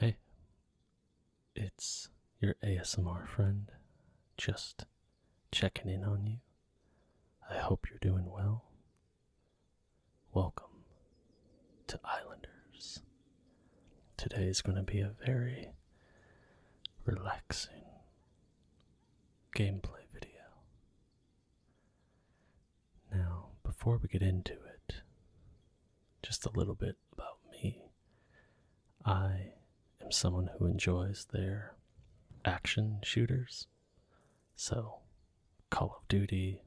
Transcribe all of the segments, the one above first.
Hey, it's your ASMR friend, just checking in on you. I hope you're doing well. Welcome to Islanders. Today is going to be a very relaxing gameplay video. Now, before we get into it, just a little bit about me. I am someone who enjoys their action shooters. So, Call of Duty,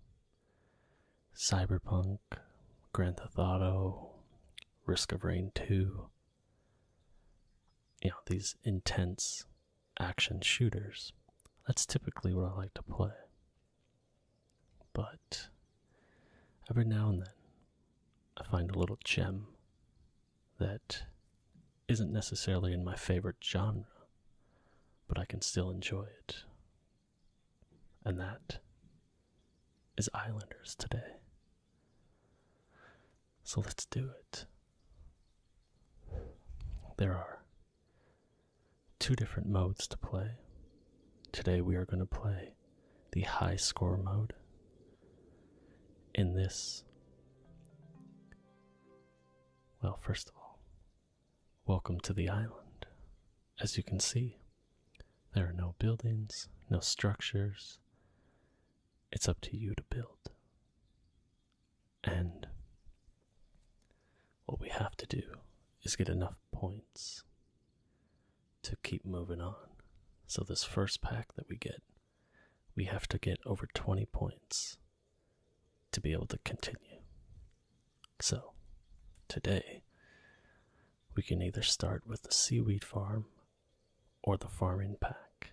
Cyberpunk, Grand Theft Auto, Risk of Rain 2. You know, these intense action shooters. That's typically what I like to play. But every now and then I find a little gem that isn't necessarily in my favorite genre, but I can still enjoy it. And that is Islanders today. So let's do it. There are two different modes to play. Today we are going to play the high score mode. In this, well, first of all, welcome to the island. As you can see, there are no buildings, no structures. It's up to you to build. And what we have to do is get enough points to keep moving on. So, this first pack that we get, we have to get over 20 points to be able to continue. So, today, we can either start with the seaweed farm or the farming pack.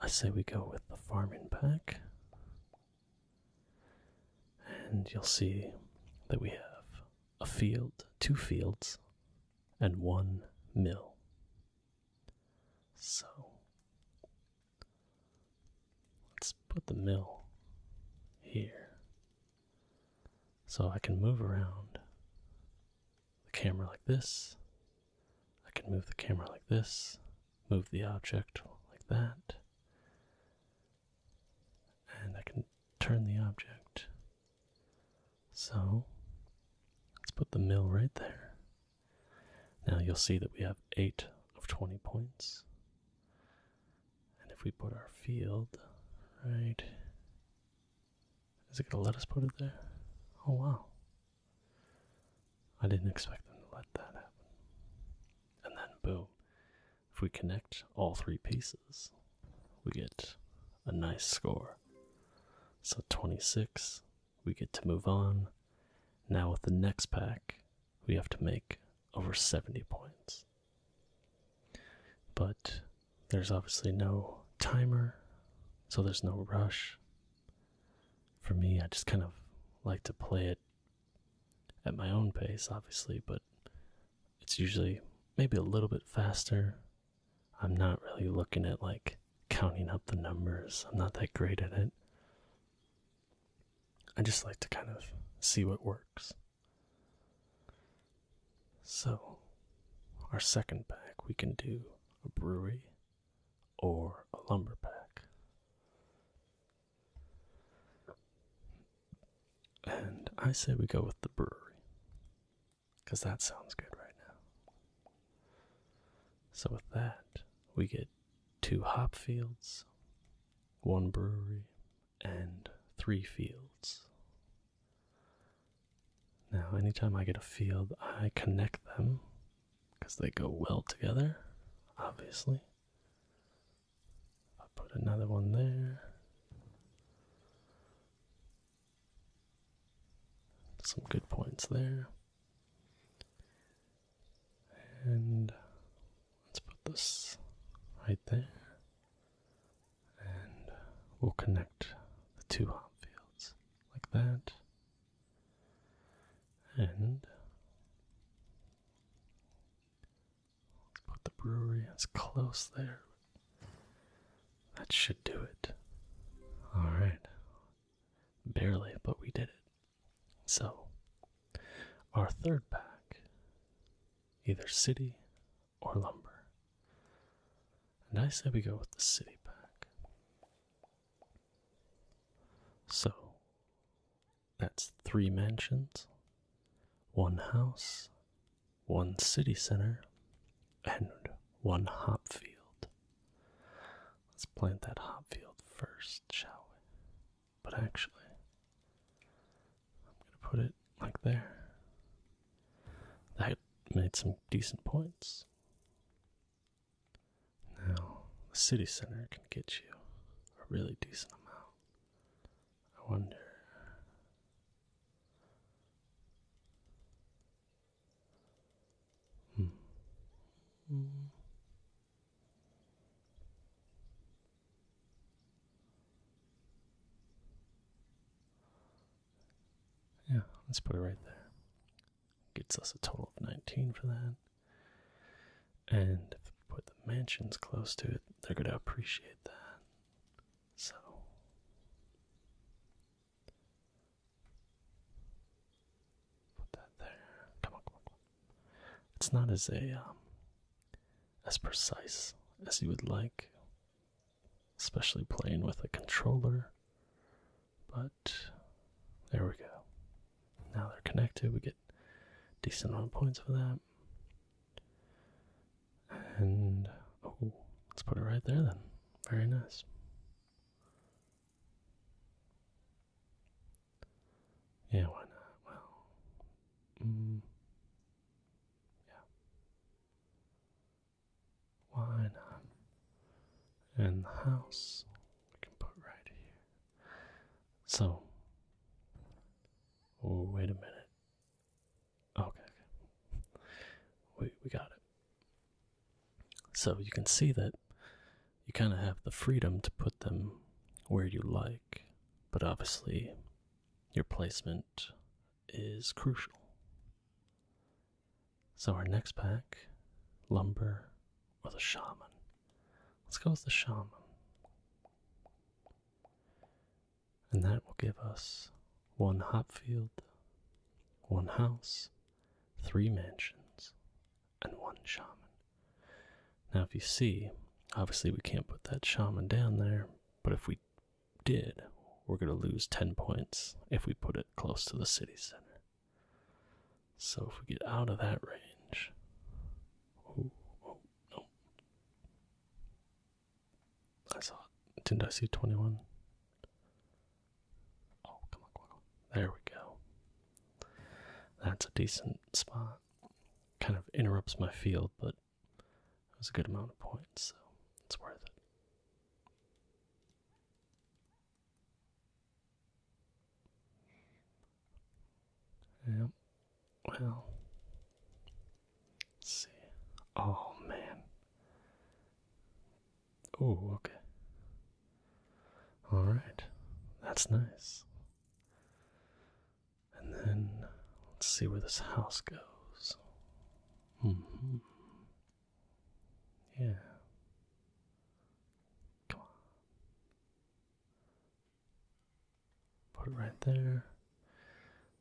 I say we go with the farming pack and you'll see that we have a field, two fields, and one mill. So let's put the mill here so I can move around the camera like this. I can move the camera like this, move the object like that and I can turn the object. So let's put the mill right there. Now you'll see that we have 8 of 20 points. And if we put our field right. Is it going to let us put it there? Oh, wow. I didn't expect them to let that happen. And then, boom. If we connect all three pieces, we get a nice score. So 26, we get to move on. Now, with the next pack, we have to make over 70 points. But there's obviously no timer, so there's no rush. For me, I just kind of like to play it at my own pace, obviously, but it's usually maybe a little bit faster. I'm not really looking at like counting up the numbers, I'm not that great at it. I just like to kind of see what works. So, our second pack, we can do a brewery or a lumber pack. And I say we go with the brewery. Because that sounds good right now. So, with that, we get two hop fields, one brewery, and three fields. Now, anytime I get a field, I connect them because they go well together, obviously. I'll put another one there. Some good points there. And let's put this right there. And we'll connect the two hop fields like that. And Put the brewery as close there. That should do it. Alright. Barely, but we did it. So, our third pack either city or lumber. And I say we go with the city pack. So, that's three mansions, one house, one city center, and one hop field. Let's plant that hop field first, shall we? But actually, I'm gonna put it like there. That made some decent points. Now, the city center can get you a really decent amount. I wonder. Hmm. Yeah, let's put it right there. Gets us a total of 19 for that and put the mansions close to it, they're going to appreciate that. So. Put that there. Come on, come on, come on. It's not as a um, as precise as you would like, especially playing with a controller. But there we go. Now they're connected. We get decent amount of points for that. And oh, let's put it right there then. Very nice. Yeah, why not? Well, mm, yeah. Why not? And the house we can put right here. So, wait a minute. okay. We, we got it. So you can see that you kind of have the freedom to put them where you like, but obviously your placement is crucial. So our next pack, lumber or the shaman. Let's go with the shaman. And that will give us one hop field, one house, three mansions, and one shaman. Now, if you see, obviously we can't put that shaman down there, but if we did, we're going to lose 10 points if we put it close to the city center. So if we get out of that range, Nope. I saw Didn't I see 21? Oh, come on. There we go. That's a decent spot. Kind of interrupts my field, but it was a good amount of points, so it's worth it. Yep, well, let's see. Oh man. Oh, okay. All right, that's nice. And then let's see where this house goes. Mm-hmm. Yeah. Come on. Put it right there.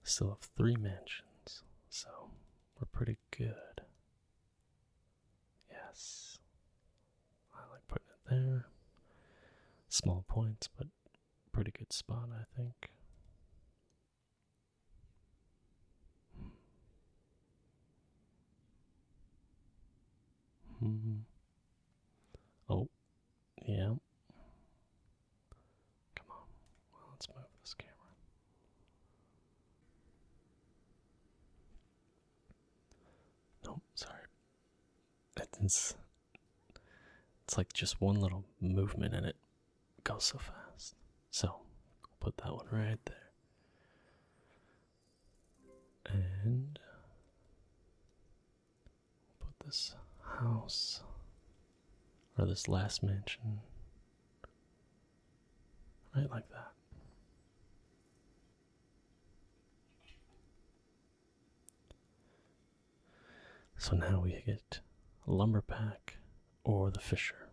Still have three mansions, so we're pretty good. Yes. I like putting it there. Small points, but pretty good spot, I think. Hmm. Hmm. Oh, yeah. Come on. let's move this camera. Nope, sorry. It's, it's like just one little movement and it goes so fast. So, put that one right there. And put this house or this last mansion right like that. So now we get lumber pack or the fisher.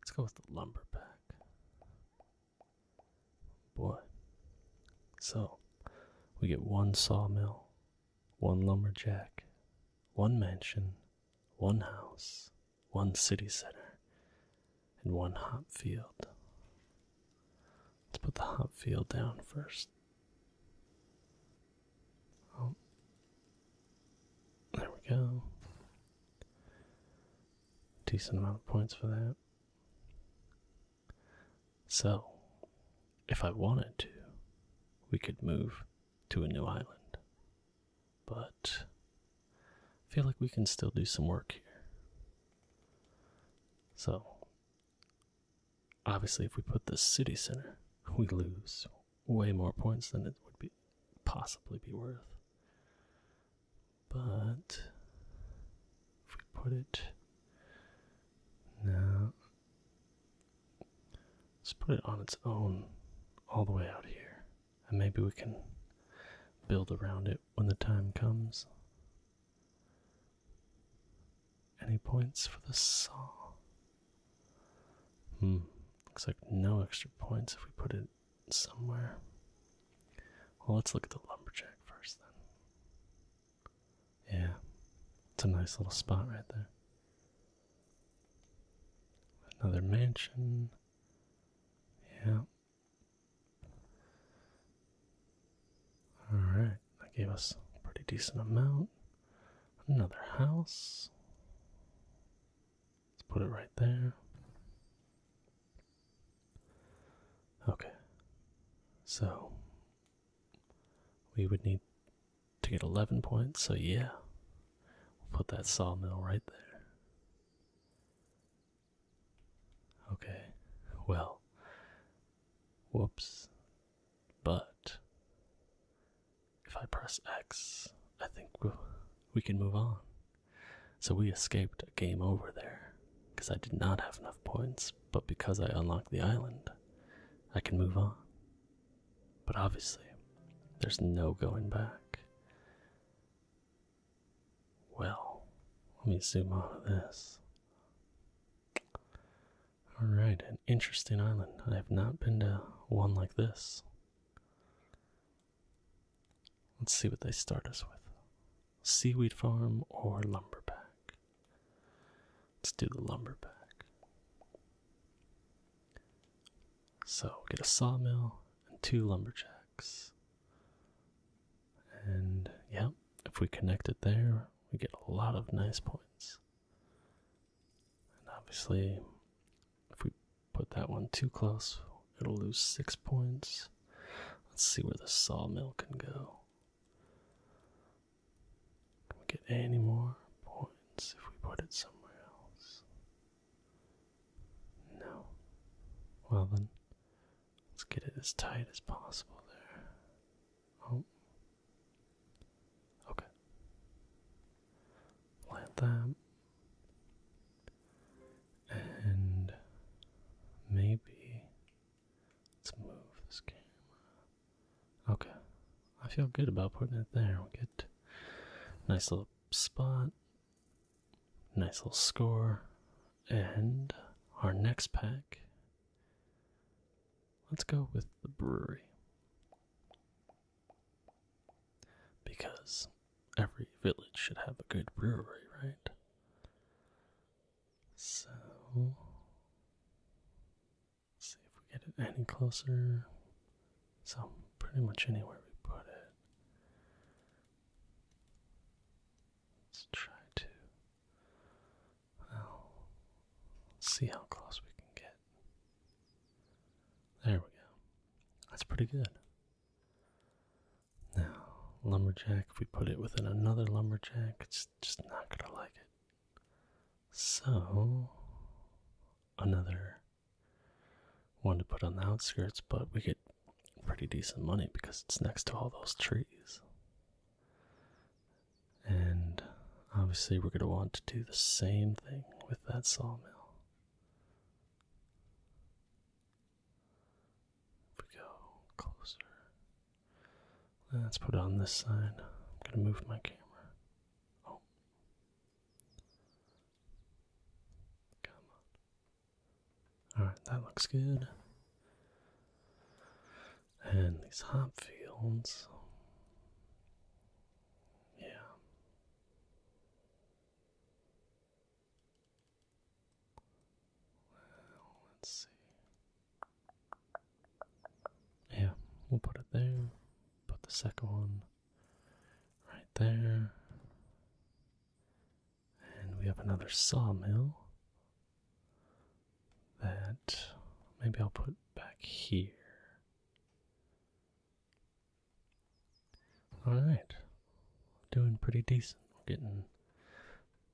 Let's go with the lumber pack boy. So, we get one sawmill, one lumberjack, one mansion, one house, one city center, and one hop field. Let's put the hop field down first. Oh. There we go. Decent amount of points for that. So, if I wanted to, we could move to a new island. But I feel like we can still do some work here. So, obviously, if we put the city center, we lose way more points than it would be possibly be worth. But if we put it now let's put it on its own all the way out here and maybe we can build around it when the time comes any points for the saw hmm looks like no extra points if we put it somewhere well let's look at the lumberjack first then yeah, it's a nice little spot right there. Another mansion. Yeah. Alright, that gave us a pretty decent amount. Another house. Let's put it right there. Okay. So, we would need to get 11 points, so yeah. We'll put that sawmill right there. Okay, well. Whoops. But. If I press X, I think we we can move on. So we escaped a game over there, because I did not have enough points, but because I unlocked the island, I can move on. But obviously, there's no going back. Well, let me zoom out of this. Alright, an interesting island. I have not been to one like this. Let's see what they start us with seaweed farm or lumber lumberback. Let's do the lumber lumberback. So get a sawmill and two lumberjacks. And yeah, if we connect it there, we get a lot of nice points. And obviously, if we put that one too close, it'll lose six points. Let's see where the sawmill can go. Can we get any more points if we put it somewhere else? No. Well then, let's get it as tight as possible there. Oh. Okay. Plant that. And maybe let's move this camera Okay. I feel good about putting it there. We get nice little spot, nice little score, and our next pack. Let's go with the brewery. Because every village should have a good brewery, right? So see if we get it any closer. So pretty much anywhere we put it. Let's try to well, see how close we can get. There we go. That's pretty good. Now, lumberjack, if we put it within another lumberjack, it's just not gonna like it. So, another one to put on the outskirts, but we get pretty decent money because it's next to all those trees. And obviously, we're going to want to do the same thing with that sawmill. If we go closer. Let's put it on this side. I'm gonna move my camera. Oh. Come on. Alright, that looks good. And these hop fields. Yeah. Well, let's see. Yeah, we'll put it there. Put the second one right there. And we have another sawmill that maybe I'll put back here. Alright, doing pretty decent. We're getting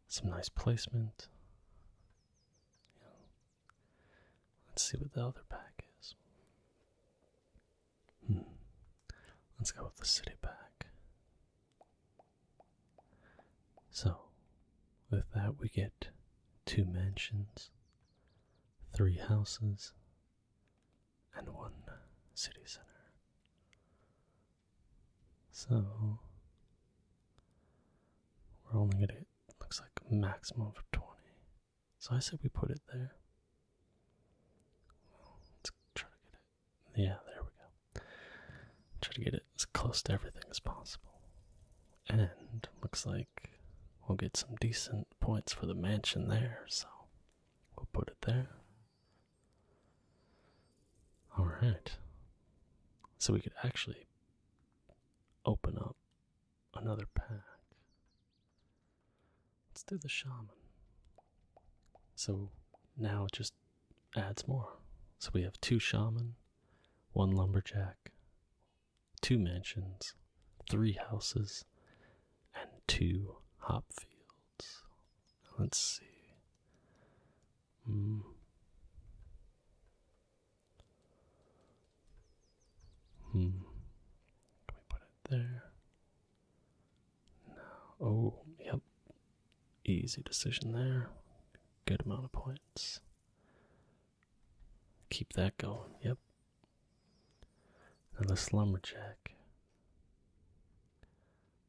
some nice placement let's see what the other pack is. Hmm. Let's go with the city pack. So, with that, we get two mansions, three houses, and one city center. So, we're only gonna get, looks like, maximum of 20. So I said we put it there. Let's try to get it. Yeah, there we go. Try to get it as close to everything as possible. And looks like we'll get some decent points for the mansion there, so we'll put it there. Alright. So we could actually open up another pack. Let's do the shaman. So now it just adds more. So we have two shaman, one lumberjack, two mansions, three houses, and two hop fields. Let's see. Mm. Hmm. Can we put it there? No. Oh, yep. Easy decision there. Good amount of points. Keep that going. Yep. Another this lumberjack.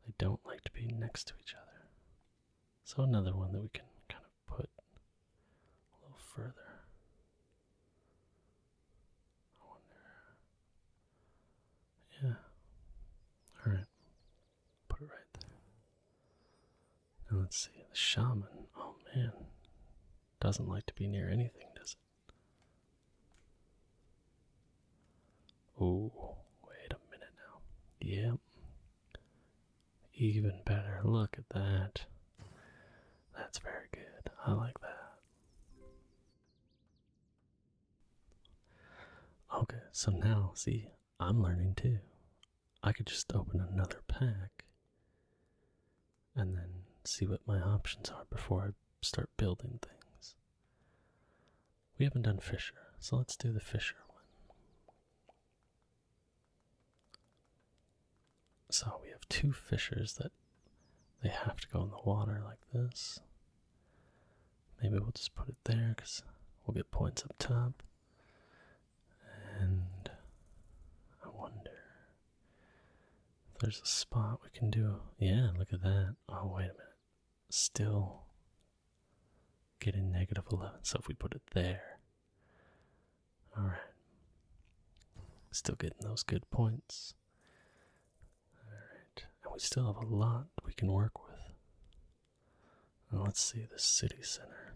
They don't like to be next to each other. So another one that we can kind of put a little further. I wonder. Yeah. Alright. Put it right there. Now let's see. The shaman. Oh man. Doesn't like to be near anything, does it? Oh, wait a minute now. Yep, even better. Look at that. That's very good. I like that. Okay, so now, see, I'm learning too. I could just open another pack and then see what my options are before I start building things. We haven't done Fisher, so let's do the Fisher one. So we have two fishers that they have to go in the water like this. Maybe we'll just put it there because we'll get points up top. And I wonder if there's a spot we can do. Yeah, look at that. Oh, wait a minute. Still getting negative 11. So if we put it there, all right. Still getting those good points. All right. And we still have a lot we can work with. let's see the city center.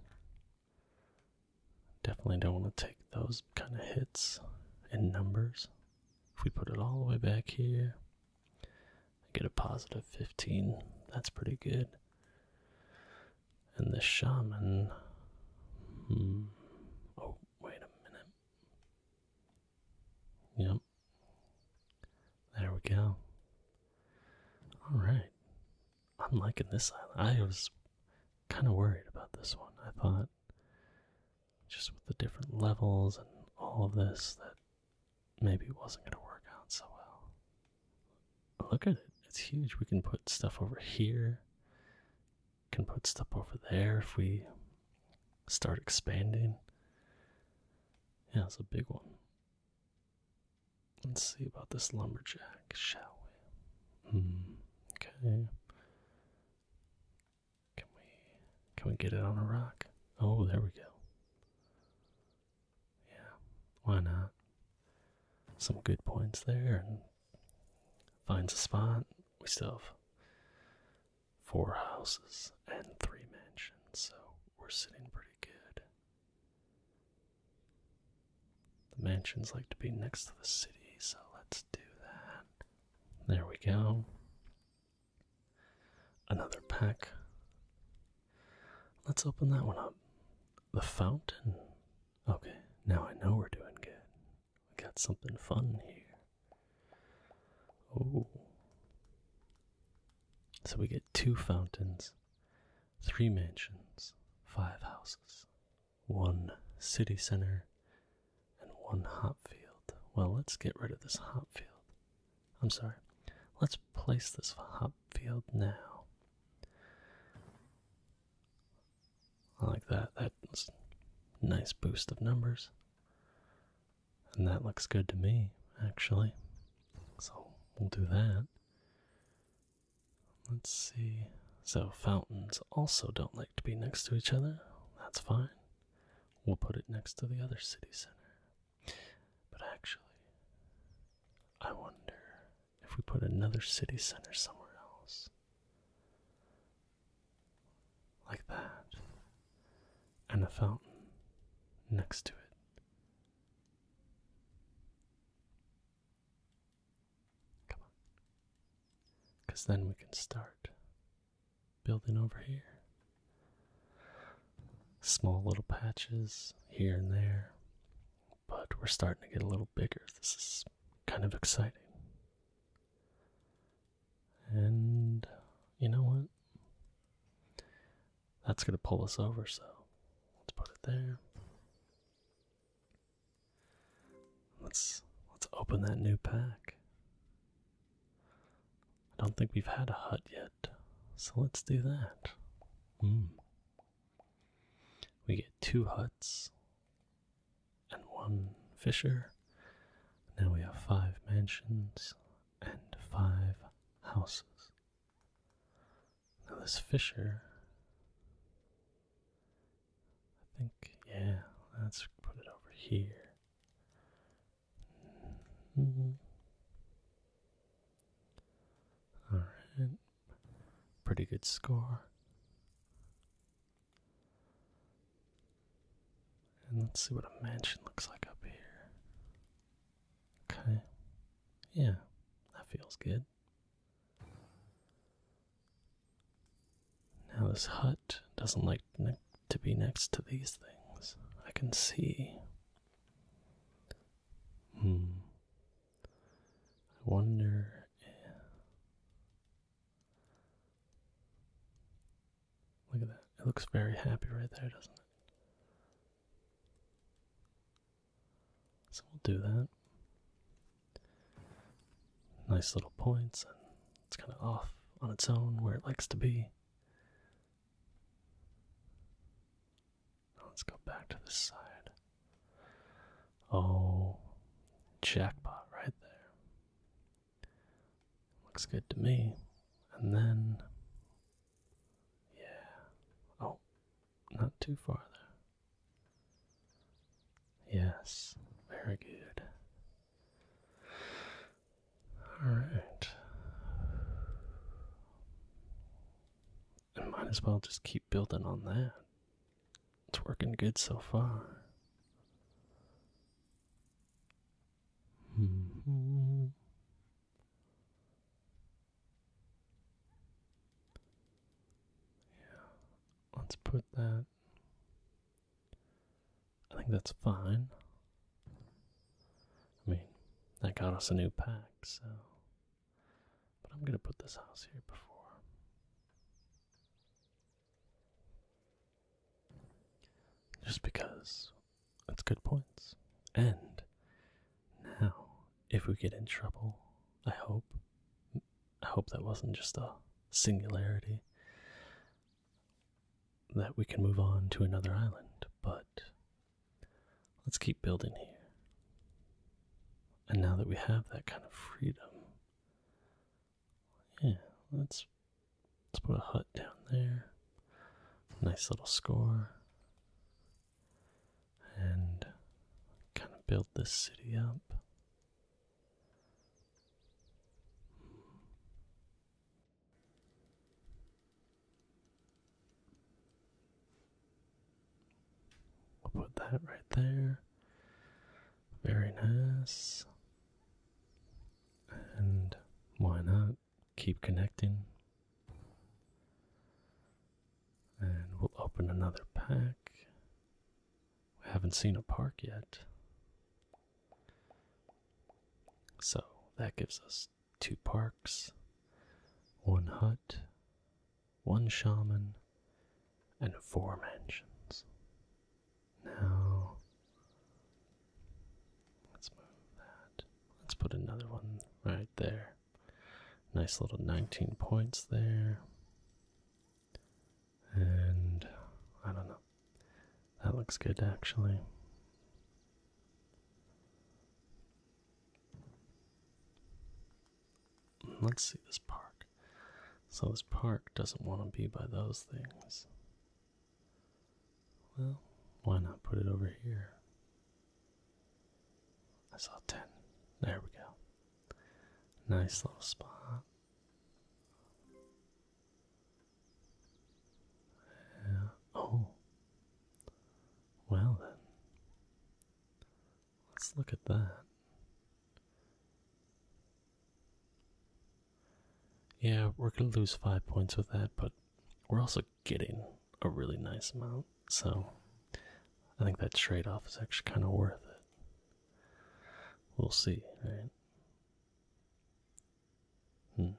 Definitely don't want to take those kind of hits in numbers. If we put it all the way back here, I get a positive 15. That's pretty good. And the shaman. Hmm, oh, wait a minute. Yep. There we go. Alright. I'm liking this island. I was kind of worried about this one. I thought, just with the different levels and all of this, that maybe it wasn't going to work out so well look at it. It's huge. We can put stuff over here. Can put stuff over there if we start expanding. Yeah, it's a big one. Let's see about this lumberjack, shall we? Hmm. Okay. Can we can we get it on a rock? Oh, there we go. Yeah, why not? Some good points there and finds a spot. We still have four houses and three mansions, so we're sitting pretty good. The mansions like to be next to the city, so let's do that. There we go. Another pack. Let's open that one up the fountain. Okay, now I know we're doing good. We got something fun here. Oh. So we get two fountains, three mansions, five houses, one city center, and one hop field. Well, let's get rid of this hop field. I'm sorry. Let's place this hop Field now. I like that. That's nice boost of numbers. And that looks good to me, actually. So we'll do that. Let's see. So fountains also don't like to be next to each other. That's fine. We'll put it next to the other city center. But actually, I wonder if we put another city center somewhere else. Like that. And a fountain next to it. Come on. Because then we can start building over here. Small little patches here and there but we're starting to get a little bigger. This is kind of exciting. And you know what? That's going to pull us over, so let's put it there. Let's let's open that new pack. I don't think we've had a hut yet. So let's do that. Mm. We get two huts and one fisher. Now we have five mansions and five houses. Now, this fisher, I think, yeah, let's put it over here. Mm-hmm. Alright, Pretty good score. And let's see what a mansion looks like up here. Okay. Yeah, that feels good. Now, this hut doesn't like to be next to these things. I can see. Hmm. I wonder if... Look at that. It looks very happy right there, doesn't it? So we'll do that. Nice little points, and it's kind of off on its own where it likes to be let's go back to this side. Oh, jackpot right there. Looks good to me. And then, yeah. Oh, not too far there. Yes, very good. All right. And might as well just keep building on that. It's working good so far. Yeah, let's put that. I think that's fine. I mean, that got us a new pack, so but I'm going to put this house here before. Just because it's good points. And now, if we get in trouble, I hope. I hope that wasn't just a singularity. That we can move on to another island, but Let's keep building here. And now that we have that kind of freedom, yeah, let's let's put a hut down there. Nice little score. And kind of build this city up. We'll put that right there. Very nice. And why not keep connecting? And we'll open another pack. We haven't seen a park yet. So that gives us two parks, one hut, one shaman, and four mansions. Now, let's move that. Let's put another one right there. Nice little 19 points there. And I don't know. That looks good actually. Let's see this park. So, this park doesn't want to be by those things. Well, why not put it over here? I saw 10. There we go. Nice little spot. Uh, oh. Well then. Let's look at that. Yeah, we're going to lose five points with that, but we're also getting a really nice amount, so I think that trade off is actually kind of worth it. We'll see, right? Hmm.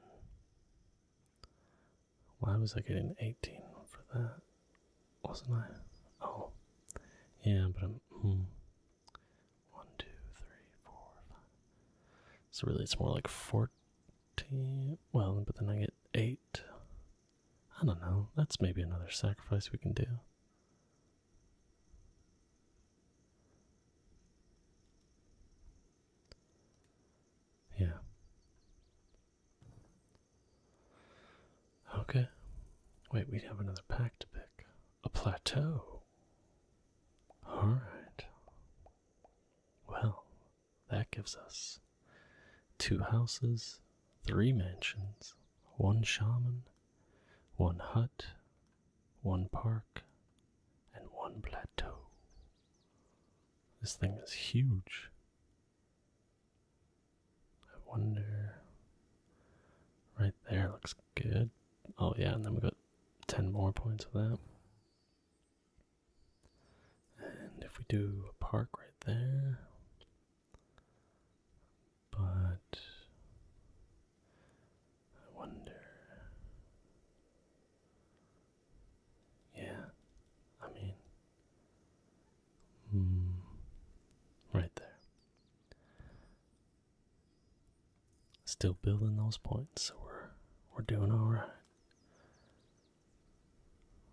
Why was I getting 18 for that? wasn't I? Oh, yeah, but I'm. Hmm. one, two, three, four, five. So really, it's more like 14. Well, but then I get 8. I don't know. That's maybe another sacrifice we can do. Yeah. Okay. Wait, we would have another pack to pick. A plateau. Alright. Well, that gives us two houses, three mansions, one shaman, one hut, one park, and one plateau. This thing is huge. I wonder. Right there looks good. Oh, yeah, and then we got 10 more points with that. And if we do a park right there. But. I wonder. Yeah, I mean, Hmm. right there. Still building those points, so we're we're doing all right.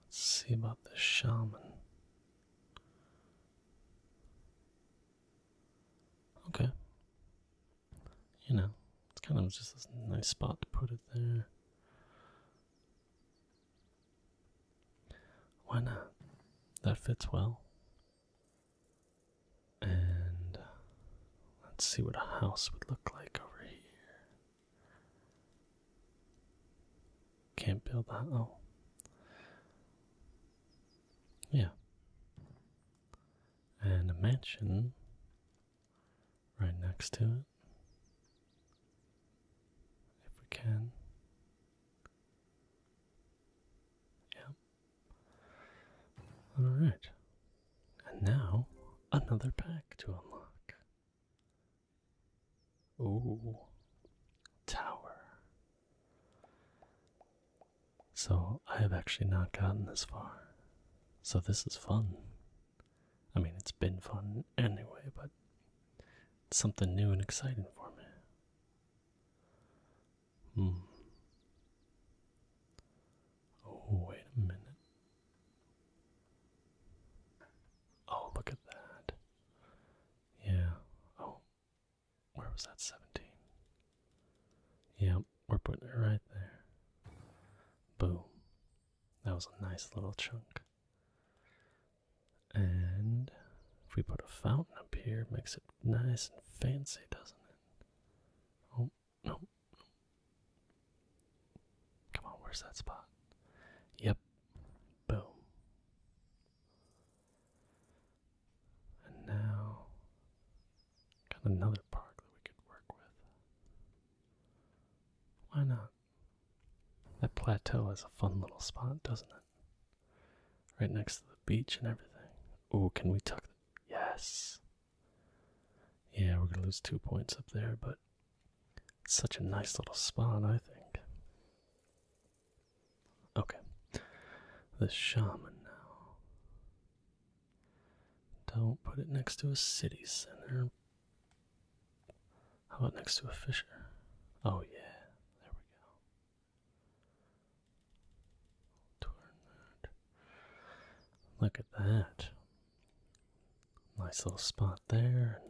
Let's see about the shaman. Okay. You know, it's kind of just a nice spot to put it there. Why not? That fits well. And let's see what a house would look like over here. Can't build that. Oh. Yeah. And a mansion right next to it if we can. Yeah. Alright. And now, another pack to unlock. Ooh. Tower. So, I have actually not gotten this far. So, this is fun. I mean, it's been fun anyway, but something new and exciting for me. Hmm. Oh, wait a minute. Oh, look at that. Yeah. Oh, where was that 17? Yeah, we're putting it right there. Boom. That was a nice little chunk. And if we put a fountain up here, makes it nice and fancy, doesn't it? Oh, no, no. Come on, where's that spot? Yep. Boom. And now, got another park that we could work with. Why not? That plateau is a fun little spot, doesn't it? Right next to the beach and everything. Oh, can we tuck? yes. Yeah, we're gonna lose two points up there, but it's such a nice little spot, I think. Okay, the shaman now. Don't put it next to a city center. How about next to a Fisher? Oh, yeah, there we go. Turn that. Look at that. Nice little spot there.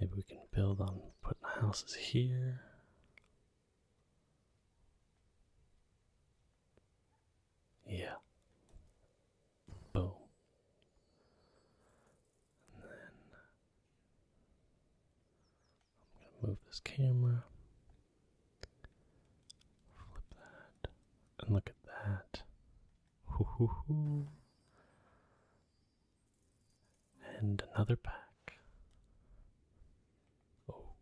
Maybe we can build on putting houses here. Yeah. Boom. And then I'm going to move this camera, flip that, and look at that. Hoo hoo hoo. And another pack. Oh,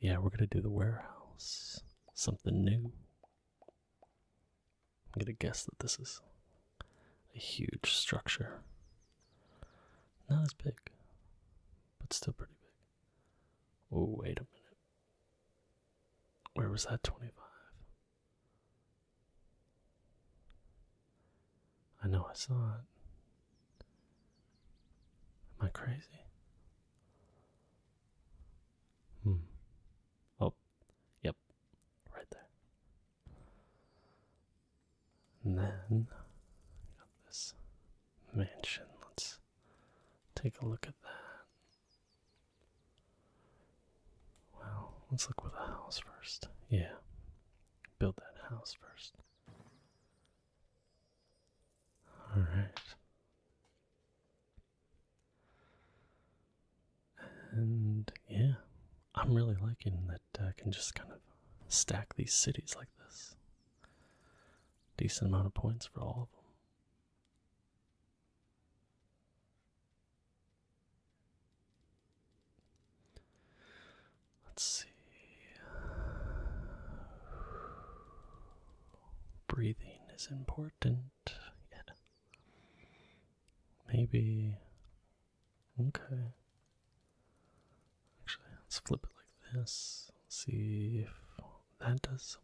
yeah, we're going to do the warehouse. Something new. I'm gonna guess that this is a huge structure. Not as big, but still pretty big. Oh, wait a minute. Where was that 25? I know I saw it. Am I crazy? Hmm. Oh, yep. Right there. And then this mansion. Let's take a look at that. Well, let's look with a house first. Yeah. Build that house first. Alright. And yeah, I'm really liking that uh, I can just kind of stack these cities like this. Decent amount of points for all of them. Let's see. Breathing is important. Yeah. Maybe Okay. Actually, let's flip it like this. Let's see if that does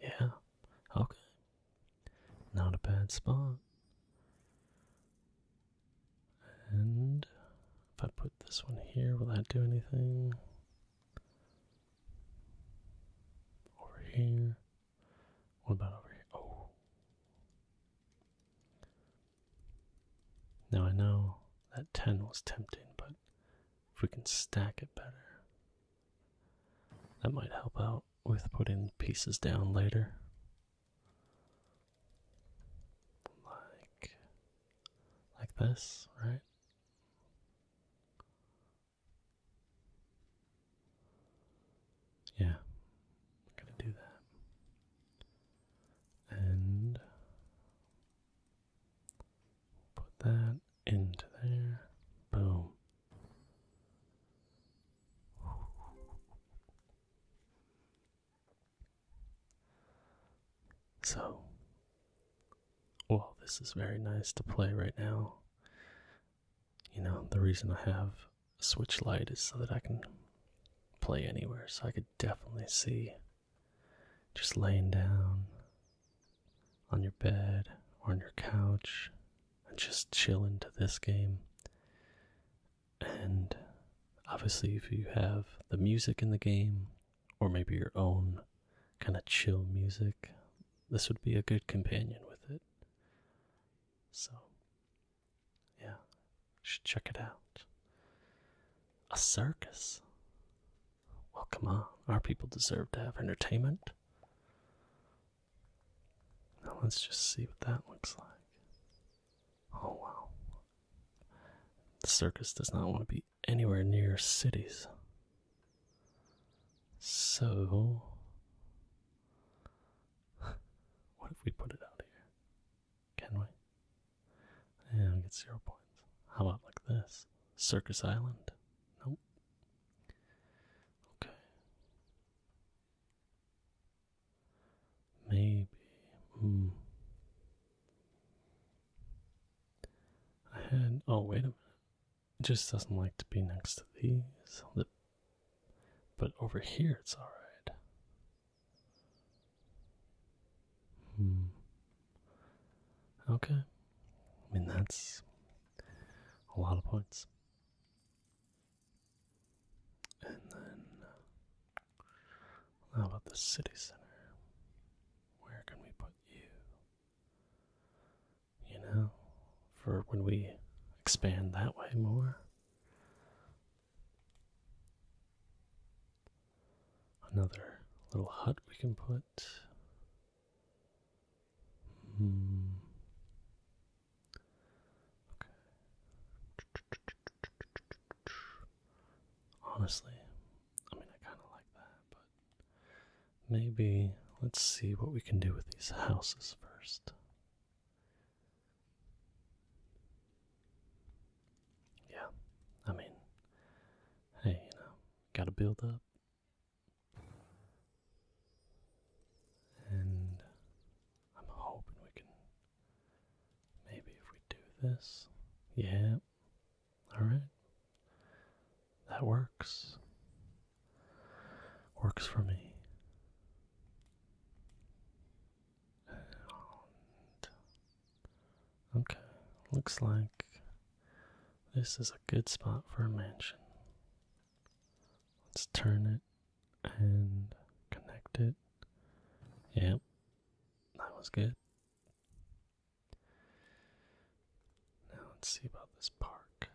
Yeah. Okay. Not a bad spot. And if I put this one here, will that do anything? Over here. What about over here? Oh. Now I know that 10 was tempting, but if we can stack it better, that might help out with putting pieces down later. Like, like this, right? Yeah, I'm gonna do that. And put that into there. Boom. So, well, this is very nice to play right now you know, the reason I have a Switch light is so that I can play anywhere. So I could definitely see just laying down on your bed or on your couch and just chill into this game. And obviously, if you have the music in the game or maybe your own kind of chill music, this would be a good companion with it. So yeah, should check it out. A circus? Well, come on. Our people deserve to have entertainment. Now let's just see what that looks like. Oh, wow. The circus does not want to be anywhere near cities. So, what if we put it out here? Can we? Yeah, we get zero points. How about like this? Circus Island? Nope. Okay. Maybe. Hmm. I had. Oh, wait a minute. It just doesn't like to be next to these. But over here, it's all right. Hmm. Okay. I mean, that's a lot of points. And then, uh, how about the city center? Where can we put you? You know, for when we expand that way more, Another little hut we can put. Hmm. Honestly, I mean, I kind of like that, but maybe let's see what we can do with these houses first. Yeah, I mean, hey, you know, gotta build up. And I'm hoping we can. Maybe if we do this. Yeah, alright. That works. Works for me okay, looks like this is a good spot for a mansion. Let's turn it and connect it. Yep, that was good. Now let's see about this park.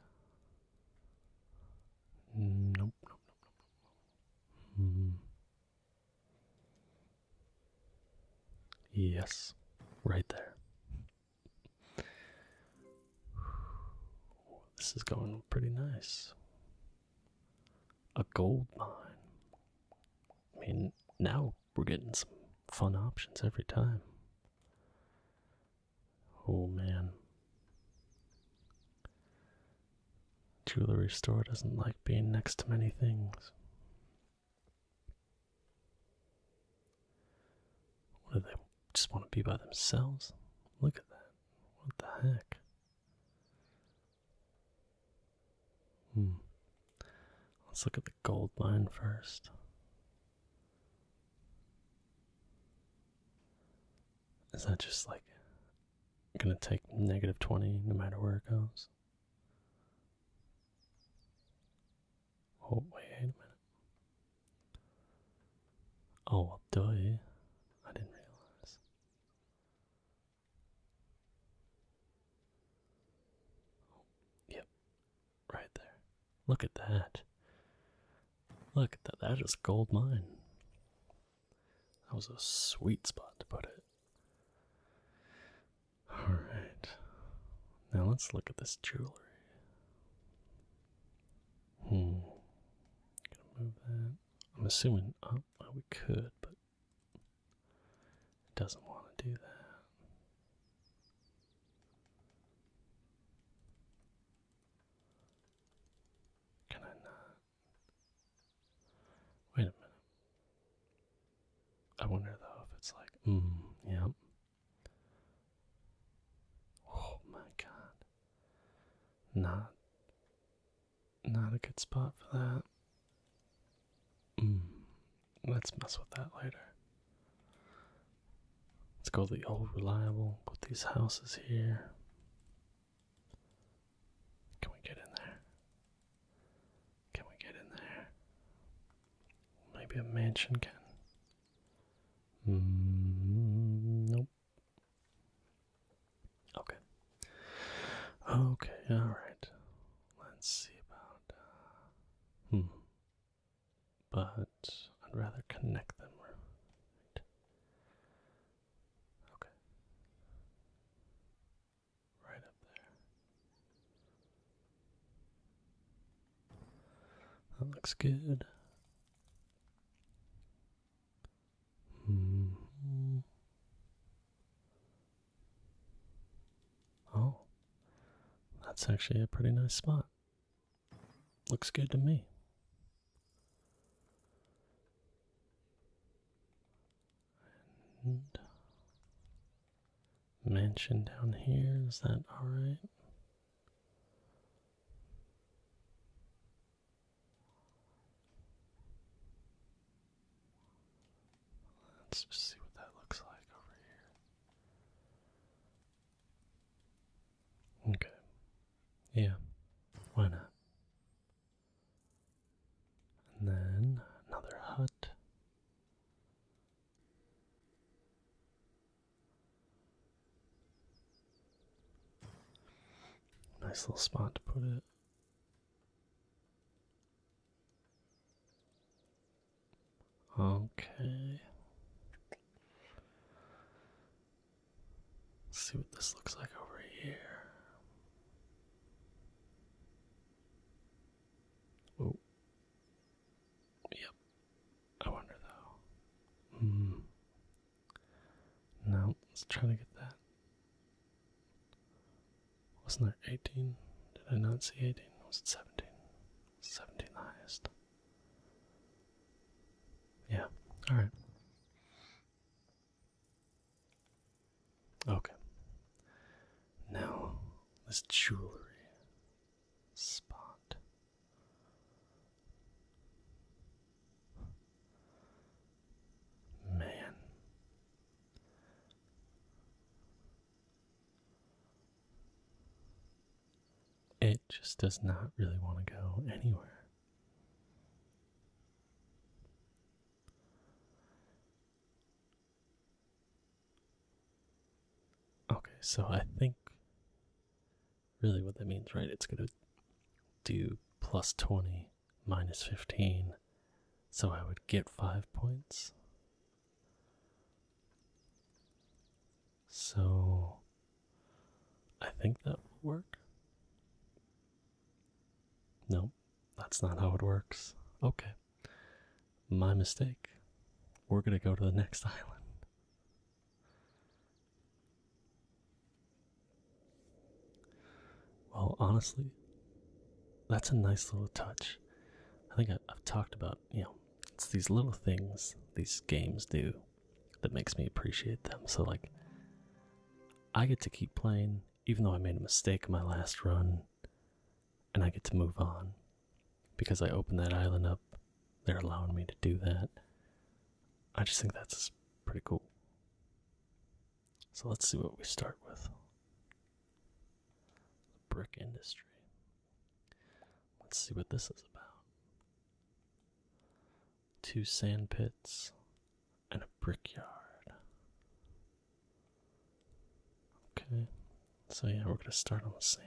nope. Hmm. Yes, right there. This is going pretty nice. A gold mine. I mean, now we're getting some fun options every time. Oh man. Jewelry store doesn't like being next to many things. What do they just want to be by themselves? Look at that. What the heck? Hmm. Let's look at the gold mine first. Is that just like gonna take negative 20 no matter where it goes? Oh, wait a minute. Oh, well, I didn't realize. yep, right there. Look at that. Look at that. That is gold mine. That was a sweet spot to put it. Alright. Now let's look at this jewelry. Hmm. move that. I'm assuming up. Oh, we could, but it doesn't want to do that. Can I not? Wait a minute. I wonder though if it's like, mm, yep. Oh my god. Not not a good spot for that. Mm, let's mess with that later. Let's go to the old reliable, put these houses here. Can we get in there? Can we get in there? Maybe a mansion can. Mm, nope. Okay. Okay, alright. Let's see about. Uh, hmm. But I'd rather connect them. Okay. Right up there. That looks good. -hmm. Oh, that's actually a pretty nice spot. Looks good to me mansion down here, is that alright? Let's see what that looks like over here. Okay. Yeah, why not? And then another hut. Nice little spot to put it. Okay. Let's see what this looks like over here. Oh. Yep. I wonder though. Hmm. Now let's try to get that. Wasn't there 18? Did I not see 18? Was it 17? 17 highest. Yeah. All right. Okay. Now, this jewelry spot. Man. It just does not really want to go anywhere. Okay, so I think really what that means, right? It's going to do plus 20 minus 15. So I would get 5 points. So I think that will work. No, that's not how it works. Okay. My mistake. We're going to go to the next island. Well, honestly, that's a nice little touch. I think I, have talked about, you know, it's these little things these games do that makes me appreciate them. So, like, I get to keep playing even though I made a mistake in my last run, and I get to move on. Because I open that island up, they're allowing me to do that. I just think that's pretty cool. So let's see what we start with. brick industry. Let's see what this is about. Two sand pits, and a brickyard. Okay, so yeah, we're gonna start on the sand.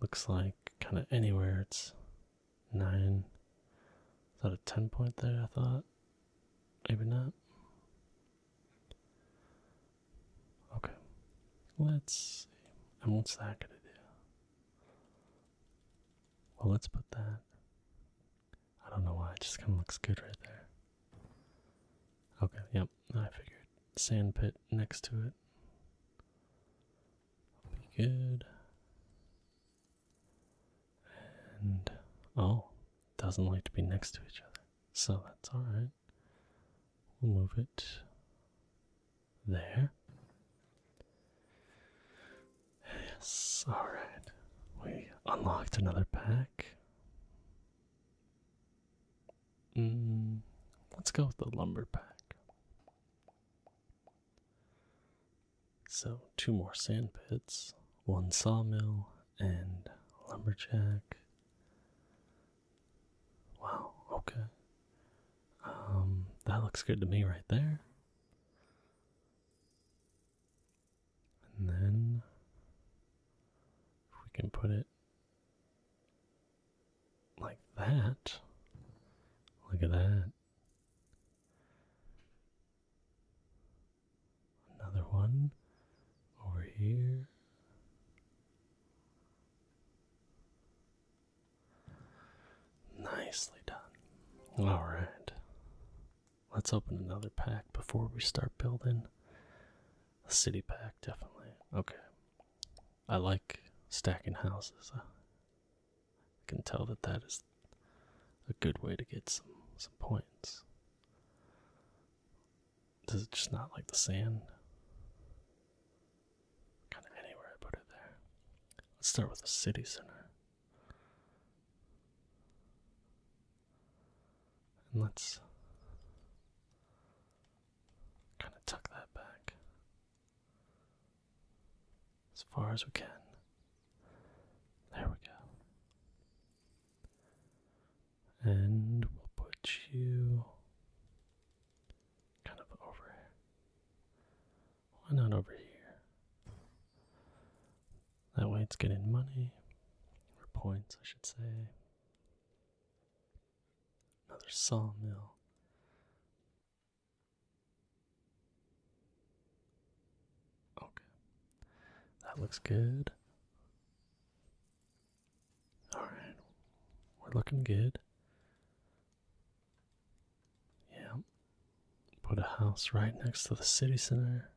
Looks like kind of anywhere it's nine. Is that a 10 point there? I thought. Maybe not. Okay, let's see. And what's that gonna do? Well, let's put that. I don't know why, it just kind of looks good right there. Okay, yep, I figured. Sand pit next to it. Be good. And, oh, doesn't like to be next to each other. So that's alright. We'll move it there. Yes, alright. We unlocked another pack. Mm, let's go with the lumber pack. So, two more sand pits, one sawmill, and lumberjack. Wow, okay. Um, that looks good to me right there. And then if we can put it like that, look at that. Another one over here. Nicely done. Alright. Let's open another pack before we start building. A city pack, definitely. Okay. I like stacking houses. I can tell that that is a good way to get some, some points. Does it just not like the sand? Kind of anywhere I put it there. Let's start with the city center. And let's kind of tuck that back as far as we can. There we go. And we'll put you kind of over here. Why not over here? That way it's getting money, or points, I should say. Another sawmill. Okay. That looks good. Alright. We're looking good. Yeah. Put a house right next to the city center.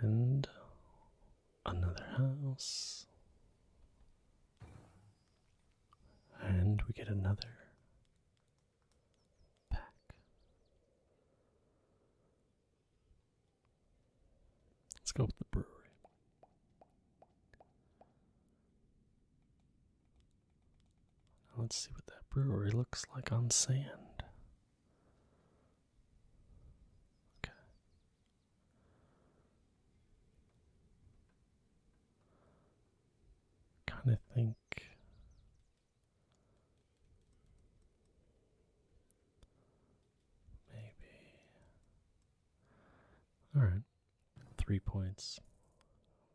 And another house. And we get another pack. Let's go with the brewery let's see what that brewery looks like on sand. Okay. Kind of think maybe. All right. Three points.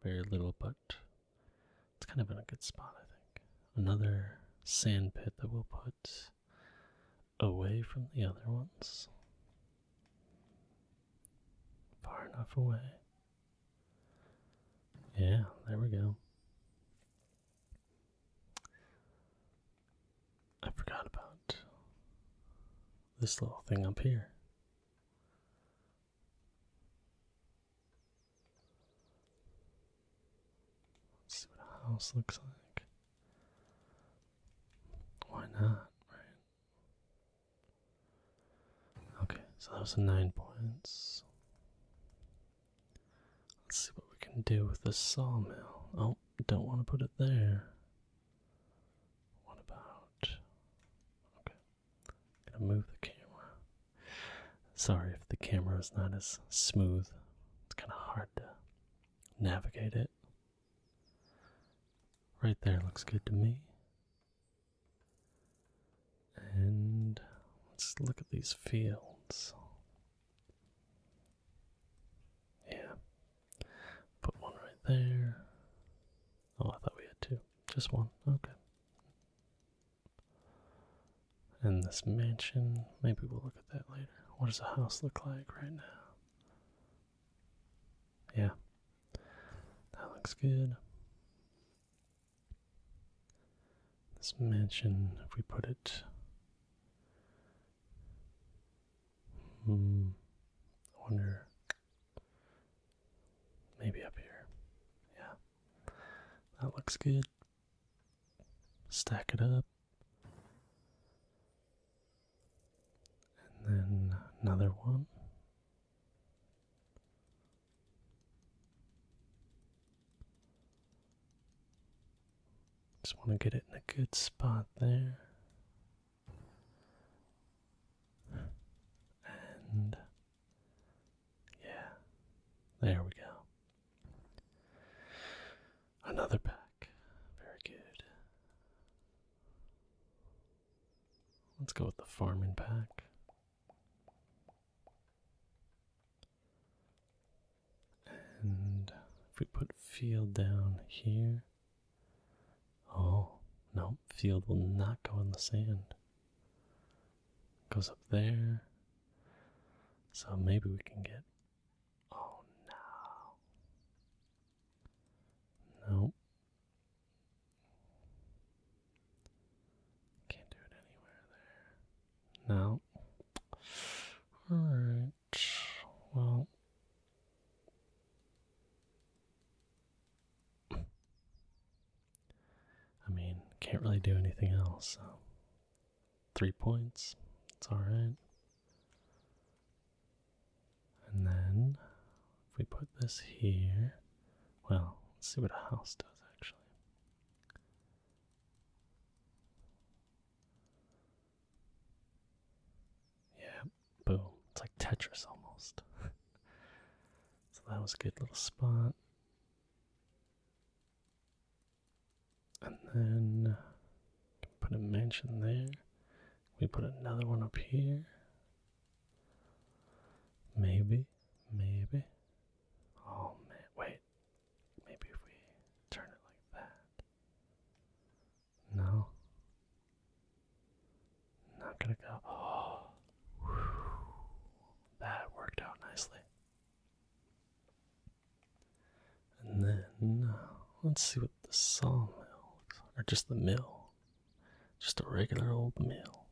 Very little, but it's kind of in a good spot, I think. Another sand pit that we'll put away from the other ones. Far enough away. Yeah, there we go. I forgot about this little thing up here. Let's see what a house looks like. Why not, right? Okay, so that was nine points. Let's see what we can do with the sawmill. Oh, don't want to put it there. What about. I'm gonna move the camera. Sorry if the camera is not as smooth. It's kind of hard to navigate it. Right there looks good to me. And let's look at these fields. Yeah. Put one right there. Oh, I thought we had two. Just one. Okay. And this mansion. Maybe we'll look at that later. What does a house look like right now? Yeah. That looks good. This mansion, if we put it. Hmm. I wonder. Maybe up here. Yeah. That looks good. Stack it up. And then another one. Just want to get it in a good spot there. And yeah, there we go. Another pack. Very good. Let's go with the farming pack. And if we put field down here, Oh, no, field will not go in the sand. Goes up there. So maybe we can get. Oh no. Nope. Can't do it anywhere there. No. Alright. Well. I mean, can't really do anything else, so. Three points, it's alright. And then, if we put this here, well, let's see what a house does actually. Yeah, Boom. It's like Tetris almost. so that was a good little spot. And then uh, put a mansion there. We put another one up here. Maybe, maybe. Oh man, wait. Maybe if we turn it like that. No. Not gonna go. Oh, that worked out nicely. And then uh, let's see what the sawmill looks or just the mill, just a regular old mill.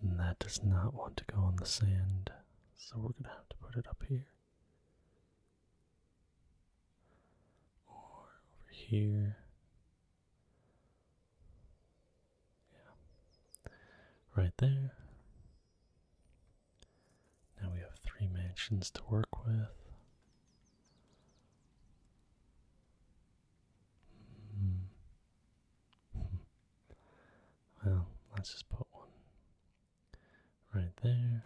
And that does not want to go on the sand, so we're gonna have to put it up here. Or over here, yeah. Right there. Now we have three mansions to work with. Hmm. well, let's just put one right there.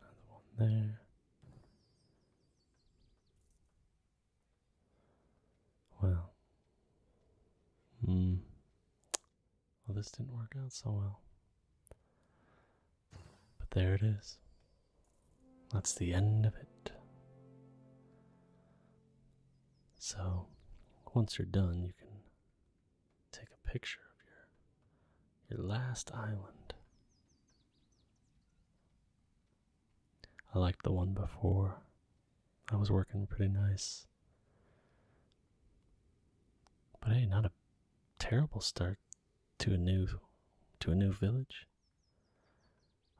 Another one there. Well. Hmm. Well, this didn't work out so well. But there it is. That's the end of it. So, once you're done, you can take a picture of your your last island. I liked the one before. I was working pretty nice. But hey, not a terrible start to a new to a new village.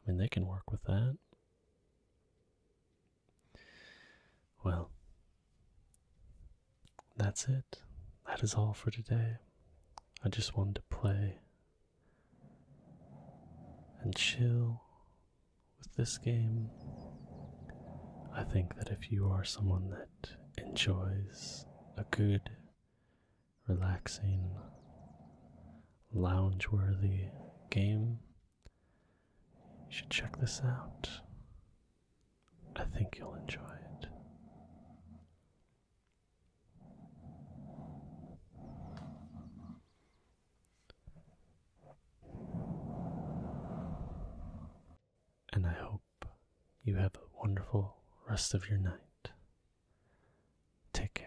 I mean, they can work with that. Well, that's it. That is all for today. I just wanted to play and chill with this game. I think that if you are someone that enjoys a good, relaxing, loungeworthy game, you should check this out. I think you'll enjoy it. And I hope you have a wonderful rest of your night. Take care.